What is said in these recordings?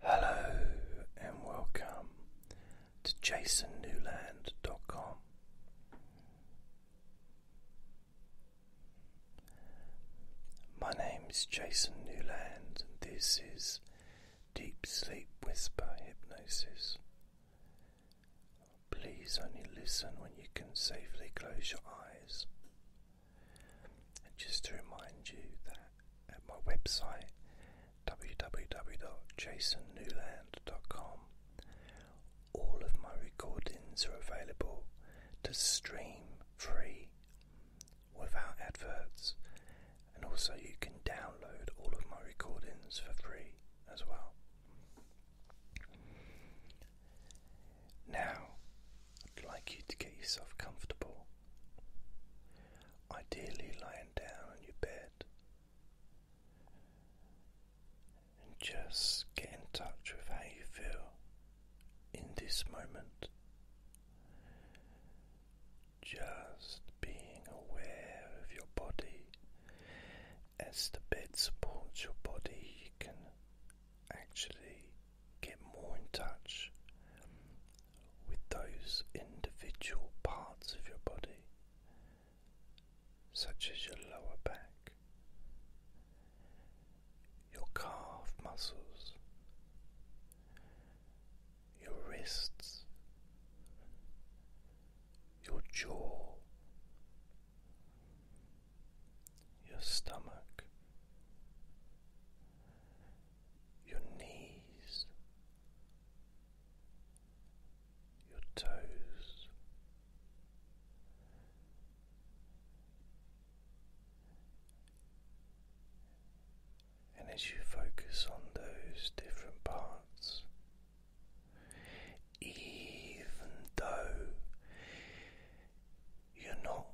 Hello and welcome to jasonnewland.com. My name is Jason Newland, and this is Deep Sleep Whisper Hypnosis. Please only listen when you can safely close your eyes. And just to remind you that at my website www.jasonnewland.com. All of my recordings are available to stream free without adverts, and also you can download all of my recordings for free as well. Now, I'd like you to get yourself comfortable ideally lying down on your bed and just get in touch with how you feel in this moment. Just being aware of your body as the bed supports your body, you can actually get more in touch with those individual parts of your body, such as your lower back, your calf muscles, your wrists, your jaw, your stomach your knees, your toes. And as you focus on those different parts, even though you're not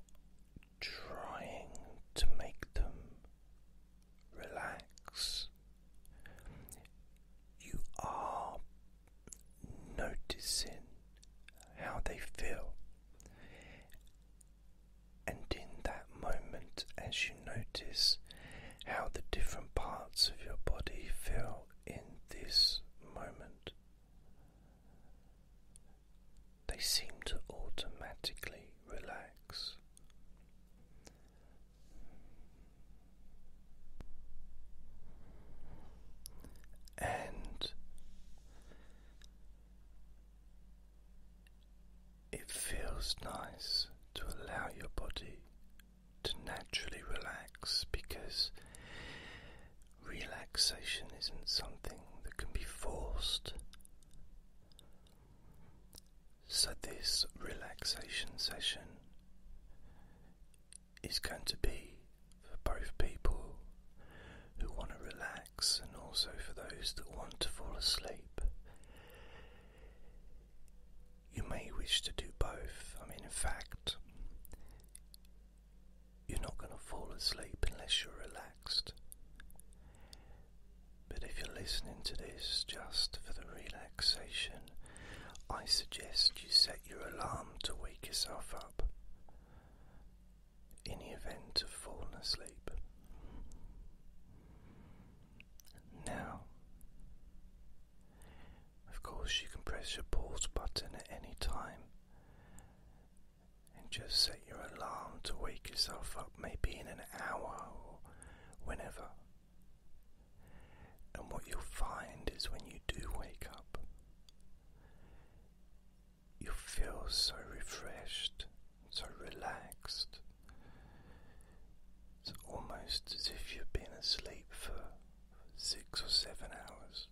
trying to make them relax. You are noticing how they feel, and in that moment, as you notice how the different parts of your body feel in this moment, they seem to automatically relax. And it feels nice to allow your body to naturally relax because relaxation isn't something that can be forced. So, this relaxation session is going to be for both people who want to relax and also for those that want to fall asleep. You may wish to do both. I mean, in fact, you're not going to fall asleep unless you're relaxed. But if you're listening to this just for the relaxation, I suggest you set your alarm to wake yourself up in the event of falling asleep. Now, of course, you can press your pause button at any time and just say set your alarm to wake yourself up maybe in an hour or whenever. And what you'll find is when you do wake up, you feel so refreshed, so relaxed. It's almost as if you've been asleep for six or seven hours.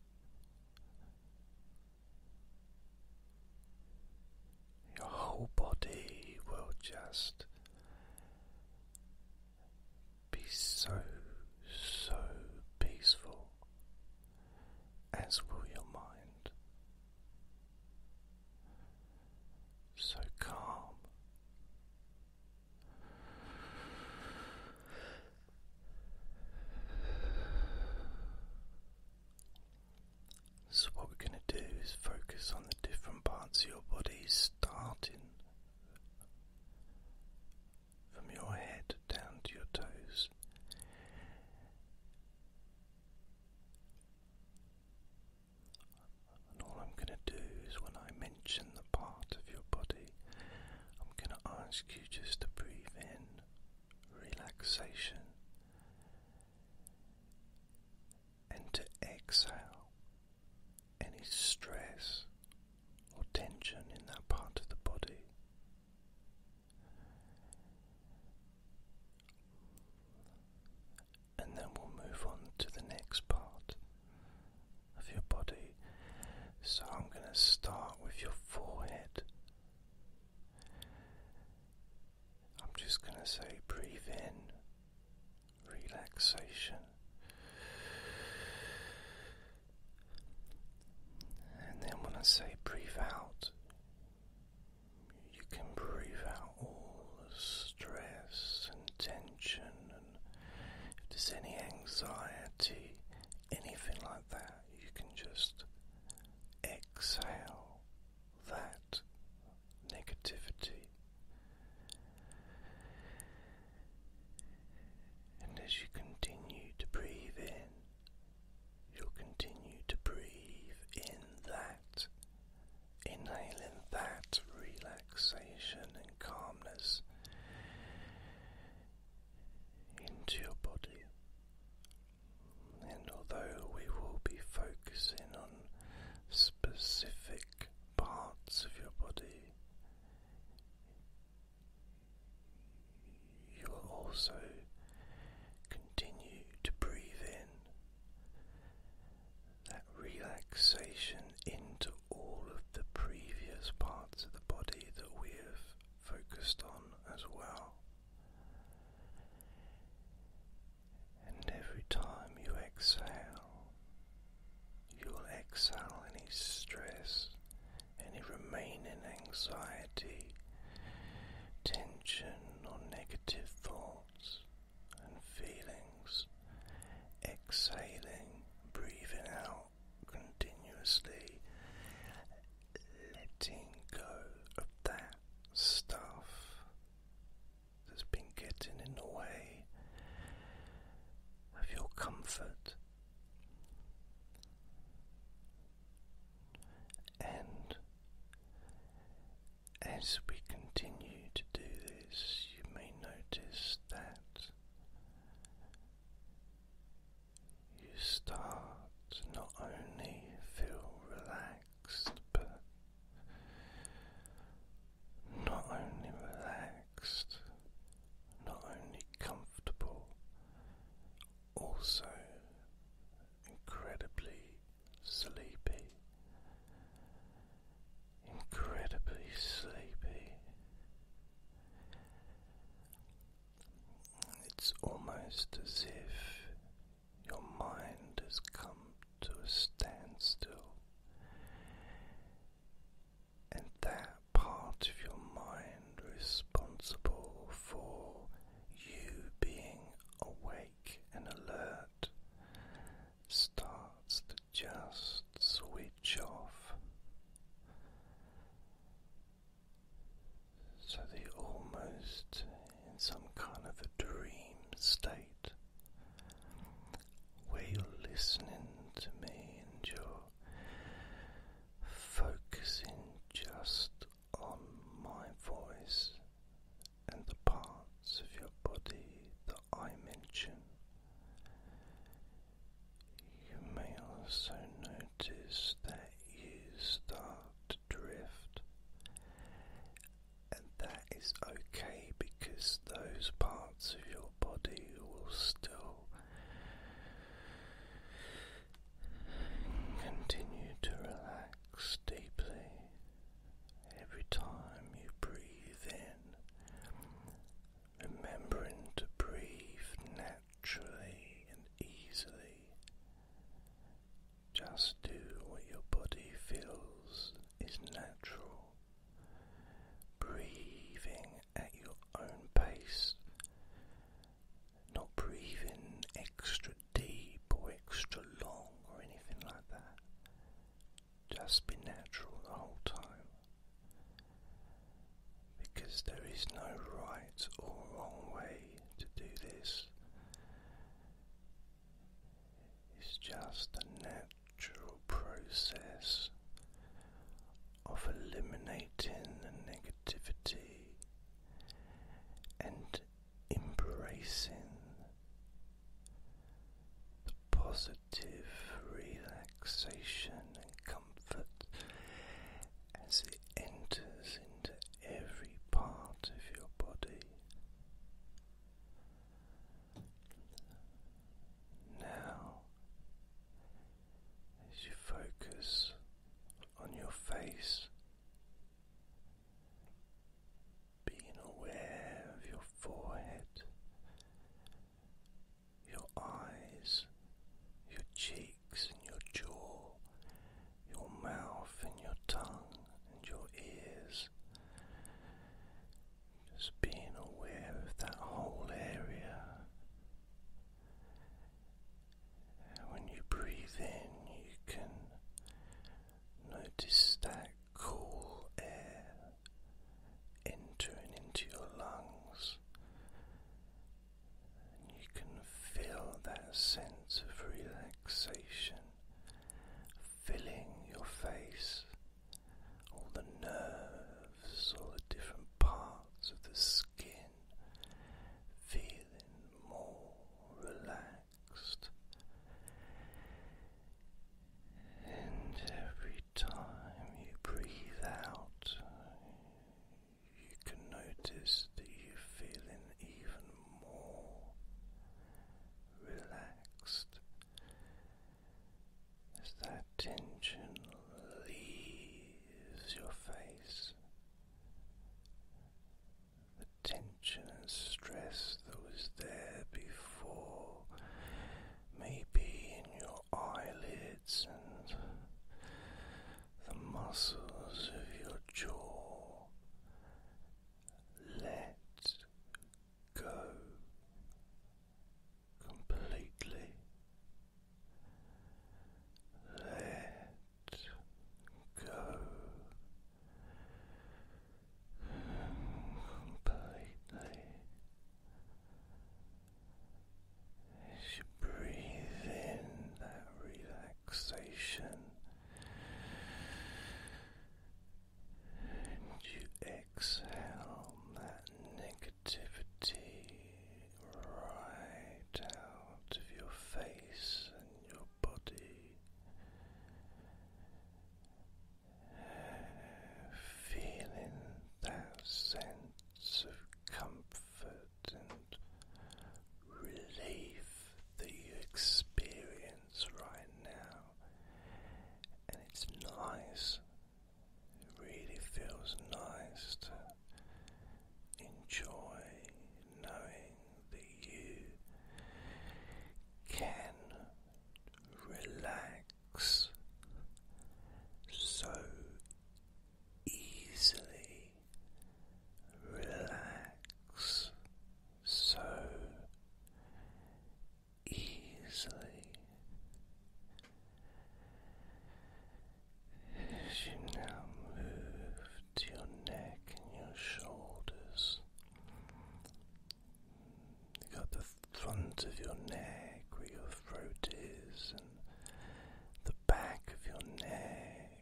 Your whole body will just be so, so peaceful, as will your mind. So calm. So, what we're going to do is focus on the different parts of your body, starting from your head down to your toes. And all I'm going to do is when I mention the part of your body, I'm going to ask you just to breathe in relaxation and to exhale any stress or tension in that part of the body. And then we'll move on to the next part of your body. So I'm going to start with your forehead. I'm just going to say breathe in relaxation and then when I say breathe out you can breathe out all the stress and tension and if there's any anxiety anything like that you can just exhale that negativity. And as you continue to breathe in, you'll continue to breathe in that, inhaling that relaxation and calmness into your body. And although we will be focusing on specific parts of your body, you will also continue to breathe in that relaxation into all of the previous parts of the body that we have focused on as well. And every time you exhale, you will exhale any stress, any remaining anxiety, tension, or negative thoughts and feelings. Exhaling, breathing out continuously, letting go of that stuff that's been getting in the way of your comfort. And as we continue to do this, you may notice that you start not only feel relaxed but not only relaxed, not only comfortable, also incredibly sleepy, incredibly sleepy. It's almost as if your mind has come to a standstill, and that part of your mind responsible for you being awake and alert starts to just switch off. So, the almost in some kind of a dream state where you're listening to me and you're focusing just on my voice and the parts of your body that I mention. You may also notice that you start to drift and that is okay because those parts of your body will still continue to relax deeply every time you breathe in, remembering to breathe naturally and easily. Just do what your body feels is natural, breathing at your own pace, not breathing extra deep or extra long or anything like that. Just be natural the whole time because there is no right or wrong way to do this. It's just a natural process of eliminating the negativity and embracing the positive relaxation and comfort as it enters into every part of your body. Now, as you focus on your face, being aware of your forehead, your eyes, your cheeks, and your jaw, your mouth, and your tongue, and your ears. Just being aware of that whole area. when you breathe in, you can notice that cool air entering into your lungs. And you can feel that sense of relaxation filling your face, all the nerves, all the different parts of the skin, feeling more relaxed. And every time you breathe out, you can notice that you're feeling even more relaxed as that tension leaves your face. The tension and stress that was there before, may be in your eyelids and the muscles of your jaw, let go completely. Let go completely. As you breathe in that relaxation, and you exhale that negativity right out of your face and your body. Feeling that sense of comfort and relief that you experience right now and it's nice. It really feels nice to enjoy knowing that you can relax so easily, relax so easily as you now move to your neck and your shoulders. You got the front of your neck where your throat is, and the back of your neck,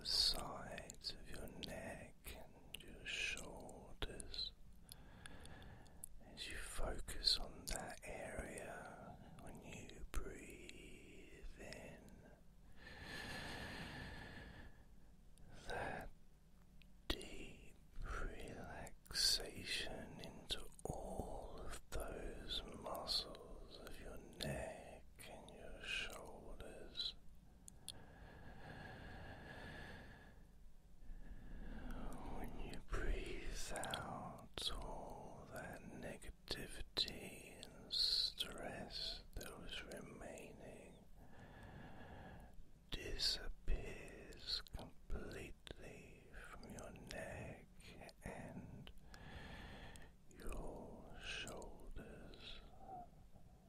the sides of your neck and your shoulders. As you focus on that area, when you breathe in, that deep relaxation into all of those muscles of your neck and your shoulders. When you breathe out all that negativity and stress that was remaining disappears completely from your neck and your shoulders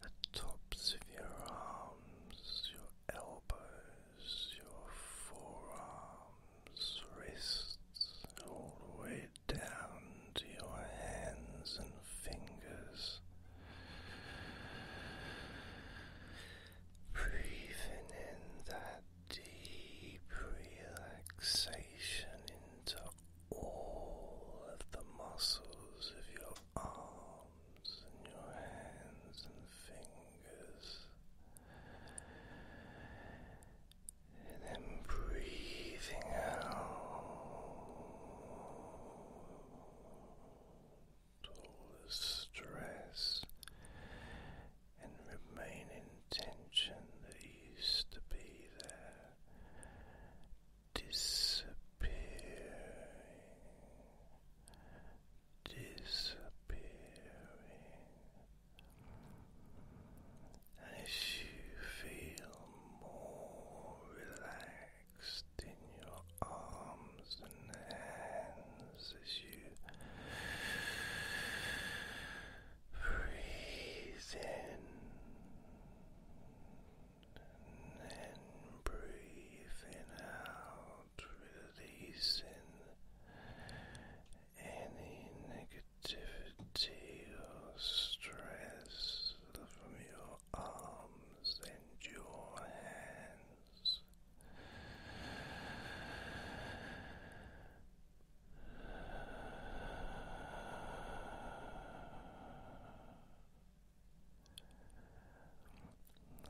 the tops of your arms, your elbows, your forearms, wrists, all the way down to your hands and fingers. Breathing in that deep relaxation into all of the muscles of your arms and your hands and fingers. And then breathing out all the stress and remaining tension that used to be there disappearing disappearing, as you feel more relaxed in your arms and hands as you. Breathe in and breathe in out releasing any negativity or stress from your arms and your hands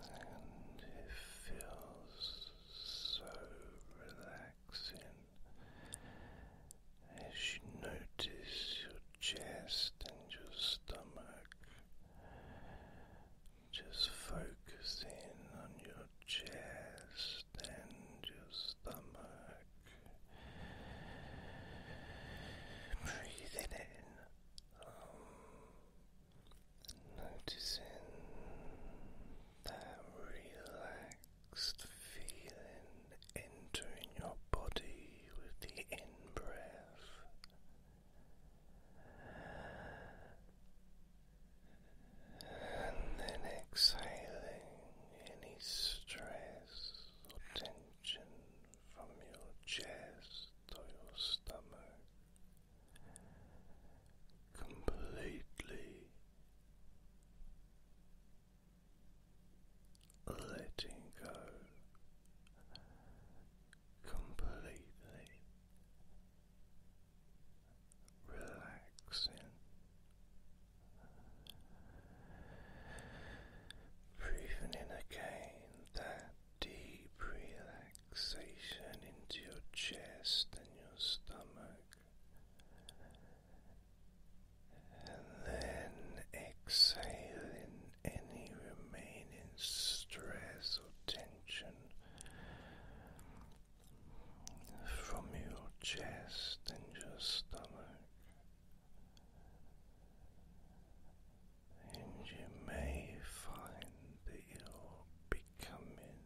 and it feels so relaxing as you notice your chest and your stomach. Just focusing on your chest and your stomach. Breathing in. Um, Noticing that relaxed feeling entering your body with the in breath. And then exhaling any stress or tension from your chest to your stomach completely letting go completely relaxing breathing in again that deep relaxation into your chest and your stomach, and then exhale in any remaining stress or tension from your chest and your stomach and you may find that you're becoming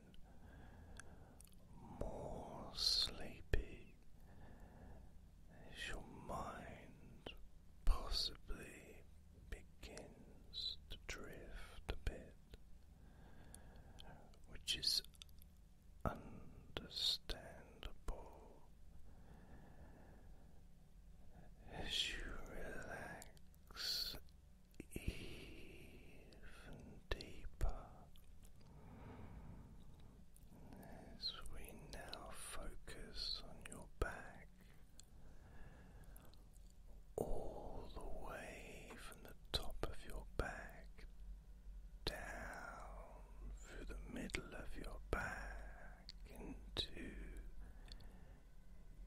more sleepy as your mind possibly begins to drift a bit, which is understandable as you relax even deeper as we now focus on your back all the way from the top of your back down through the middle of your back into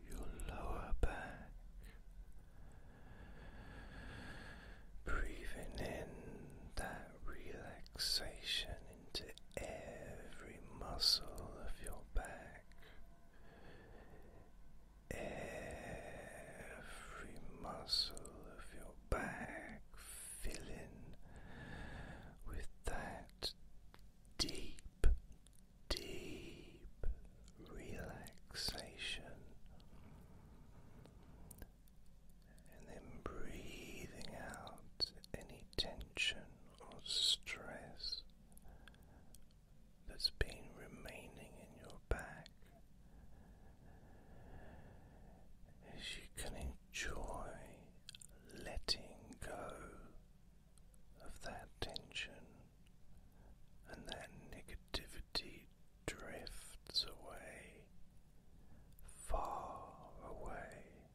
your lower back, breathing in that relaxation into every muscle of your back, every muscle of your back filling with that deep deep relaxation, and then breathing out any tension or stress that's been remaining in your back as you can enjoy letting go of that tension and that negativity drifts away, far away.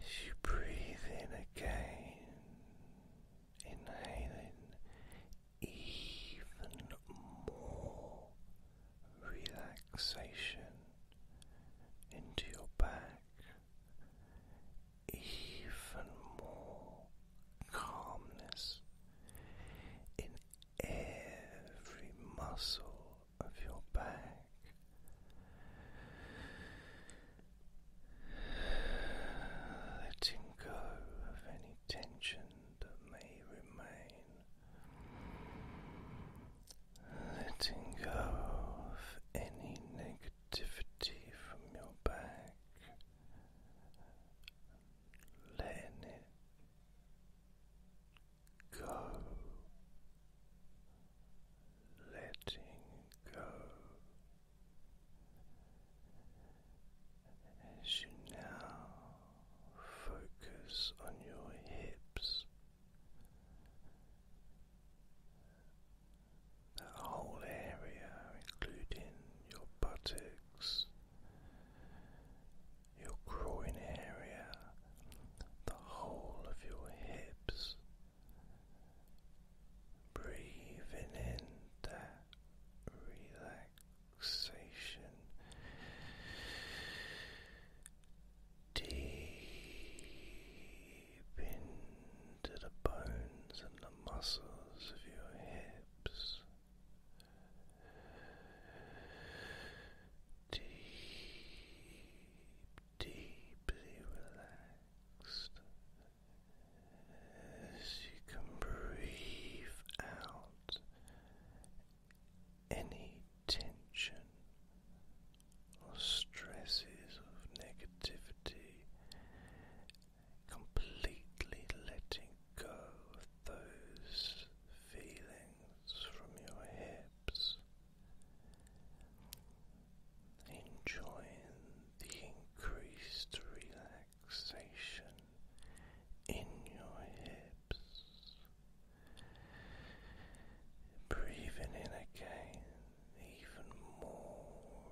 As you breathe in again, inhaling even more relaxation into your back even more calmness in every muscle of your back. Letting go of any tension that may remain. Letting go of any negativity from your back, letting go, letting go. As you now focus on your hips, that whole area, including your buttocks, your groin area, the whole of your hips. Breathing in that relaxation deep into the bones and the muscles of your hips. Deep, deeply relaxed as you can breathe out any tension or stresses of negativity, completely letting go of those feelings from your hips, enjoying the increased relaxation in your hips. Breathing in again even more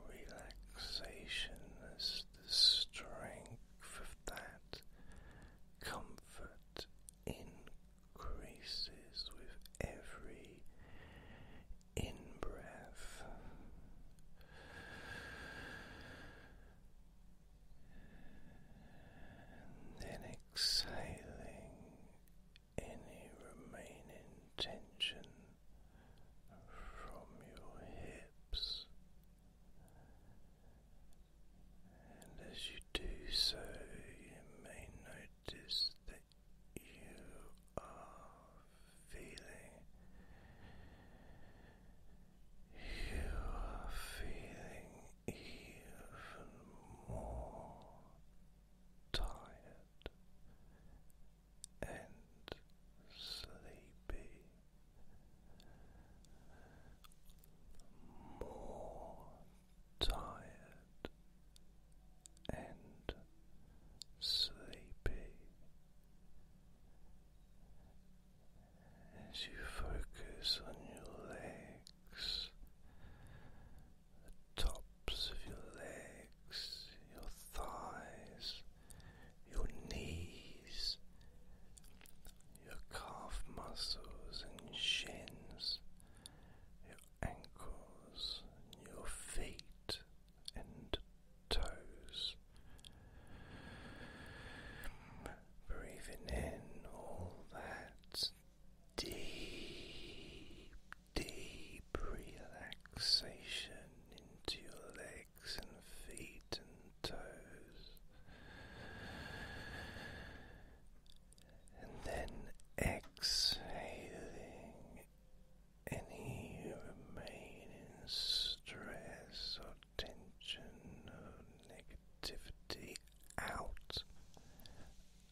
relaxation as the strength of that comfort increases with every in And then exhaling any remaining tension from your hips, and as you do so, you may notice that you are feeling. You are feeling even more tired and sleepy, more tired and sleepy as you focus on your legs the tops of your legs, your thighs, your knees, your calf muscles and shins, your ankles, your feet and toes. Breathing in all that deep, deep relaxation into your legs and feet and toes. And then exhaling any remaining stress or tension or negativity out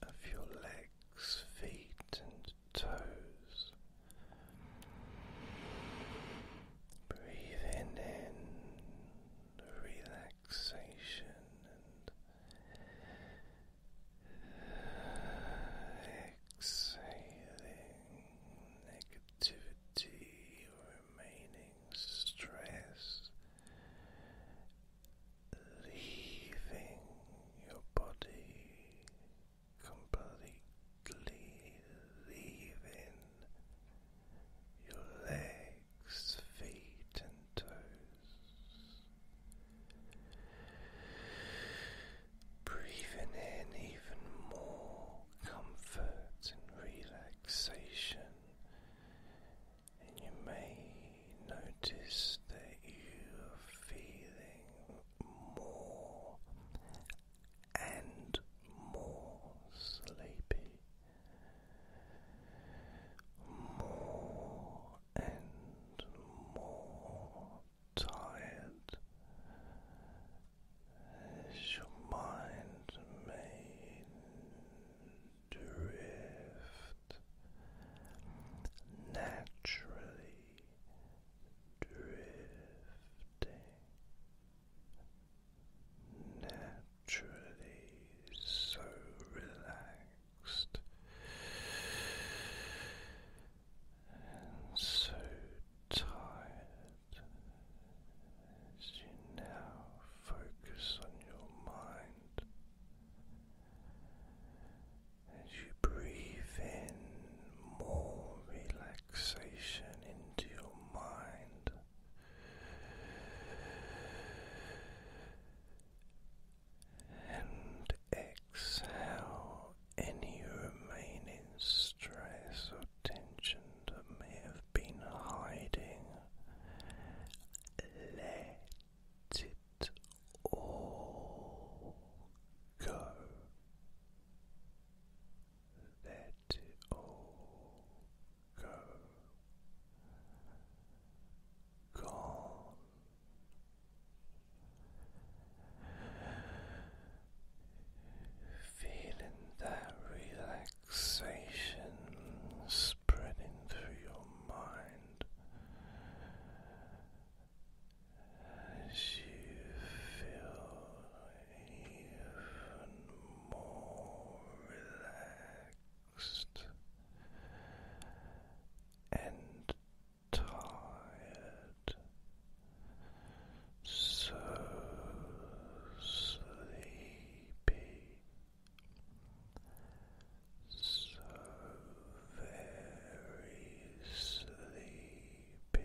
of your legs, feet, and toes. Breathing in relaxation exhaling negativity, remaining stress. Leaving your body completely leaving your legs, feet, and toes. Breathing in even more comfort and relaxation, and you may notice that you are feeling more and more sleepy, more and more tired as your mind may drift naturally drifting naturally, so relaxed and so tired as you now focus on your mind. As you breathe in more relaxation into your mind, and exhale any remaining stress or tension that may have been hiding. Let it all go. Let it all go. Gone. that relaxation spreading through your mind you feel even more relaxed and tired, so sleepy. So very sleepy, and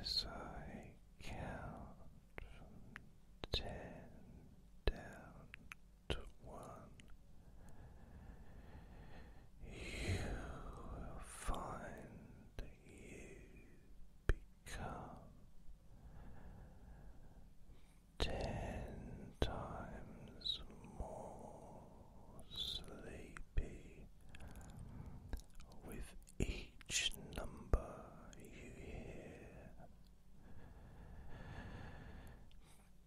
as I count ten down to one, you will find you become ten times more sleepy with each number you hear.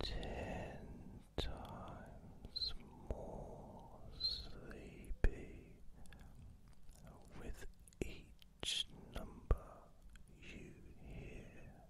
Ten times more sleepy with each number you hear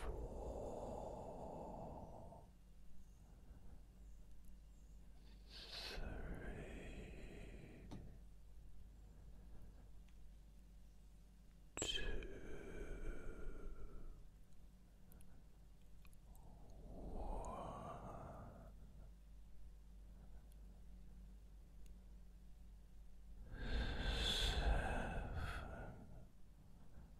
four, three, two, one. Seven,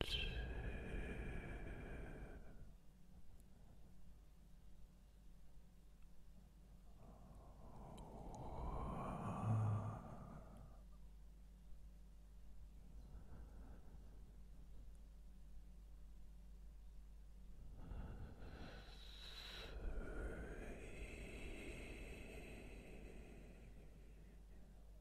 two, Four.